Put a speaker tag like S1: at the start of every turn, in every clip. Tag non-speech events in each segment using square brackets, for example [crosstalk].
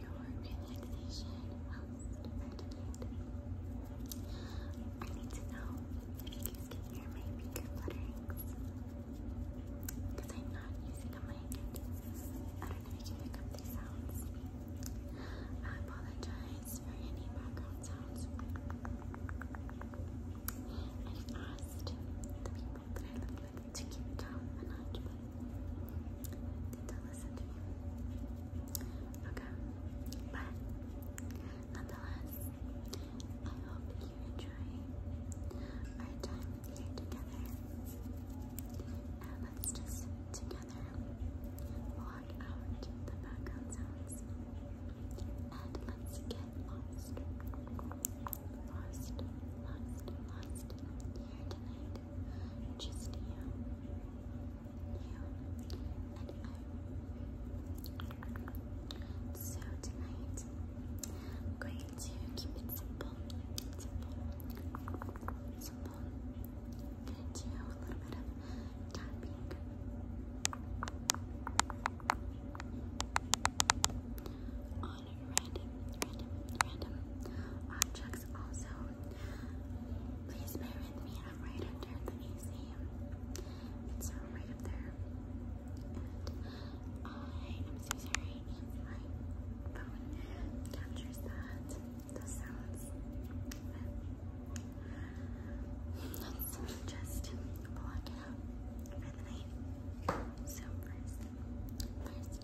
S1: Your relaxation helps I need to know if you can hear my finger flutterings. Because I'm not using a mic. I don't know if you can pick up these sounds. I apologize for any background sounds. I asked the people that I to keep Tom and I They listen to me. Okay, but nonetheless, I hope you enjoy our time here together. And let's just together walk out the background sounds and let's get lost. Lost, lost, lost here tonight just you, you, and I.
S2: So tonight, I'm going to keep it simple, simple, simple. going to do a little bit of tapping random, random, random objects also. Please bear with me, I'm right under the AC. It's right up there. Uh, my phone captures that, the sounds. [laughs] just block it out for the night. So 1st first, I'm going to have this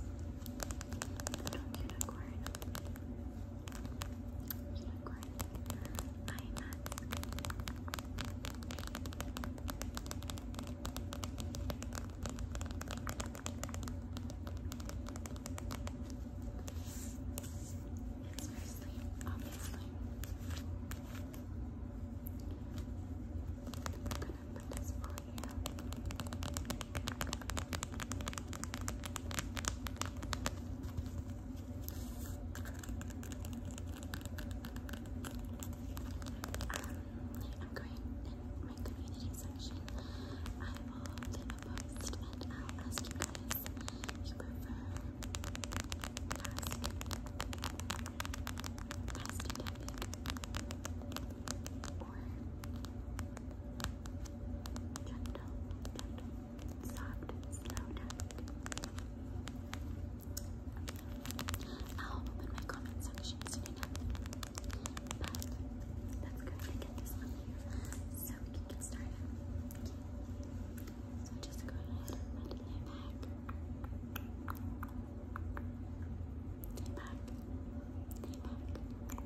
S2: little unicorn, unicorn eye mask. I Seriously, obviously. We're gonna put this on here. Um, I'm going in my community
S1: section. I will a I'll ask you guys if you prefer ask past topic or gentle, gentle, soft, slow tapping. I'll open my comment section soon enough. But that's good. I get this one here so we can get started. So just go ahead and lay back. Lay back. Lay back.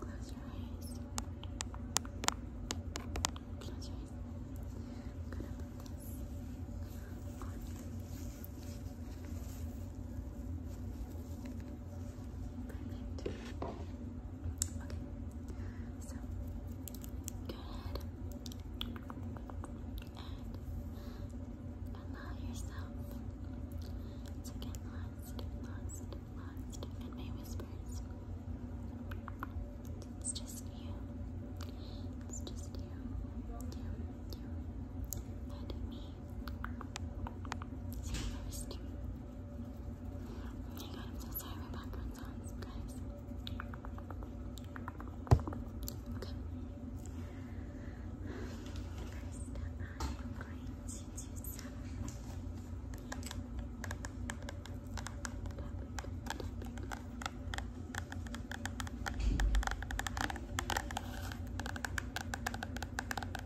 S1: Close your eyes. Close your eyes. i Perfect. allow yourself to get lost, lost, lost in my whispers. It's just you. It's just you. You, you, and me. See you first. Oh my god, I'm so sorry my background sounds, guys. Okay. First, I'm going to do some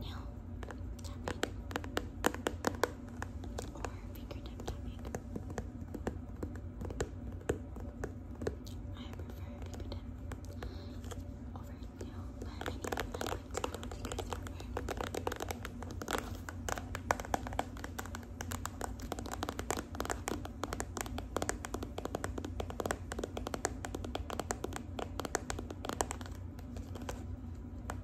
S1: nail tapping or fingertip tapping. I prefer fingertip over nail, but I need to like to fingers I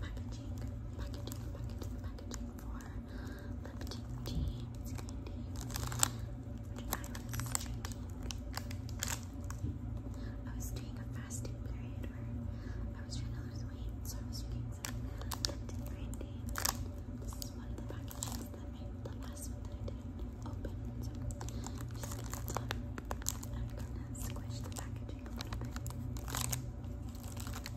S1: packaging, packaging, packaging, packaging for lifting tea candy, I was doing a fasting period where I was trying to lose weight, so I was drinking some lifting brandy. This one of the packages the last one that I didn't open, I'm gonna squish the packaging a little bit.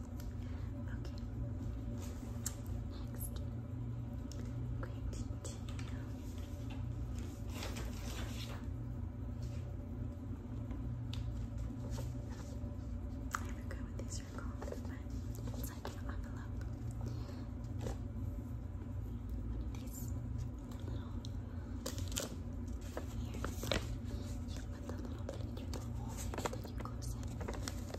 S1: Okay. Next, I'm going to do I but like an envelope. One of these little here, you put the little thing through the hole then you close it.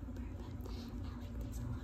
S1: remember, but I like these a lot.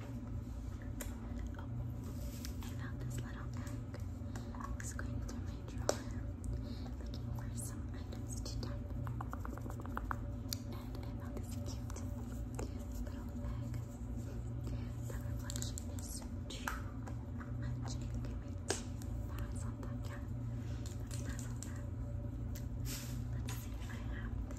S2: Oh, I found this little bag. Screen through my drawer, looking for some to type. And I found this cute little bag. let's pass on that. Let's see if I have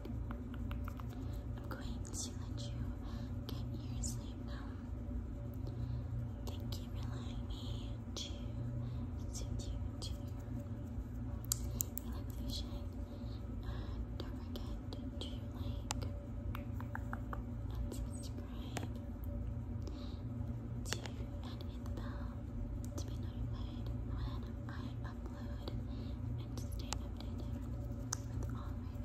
S1: I'm going to let you get your now. Thank you for allowing me to suit you to your relaxation.
S2: don't forget to like and subscribe to and hit the bell to be notified when I upload upload and to stay updated with all my videos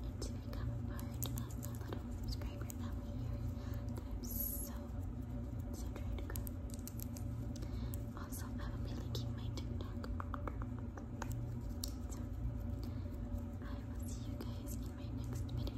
S2: and to become a part of my little subscriber family here that I'm so, so trying to grow. Also, I will be linking my TikTok. So, I will see you guys in my next video.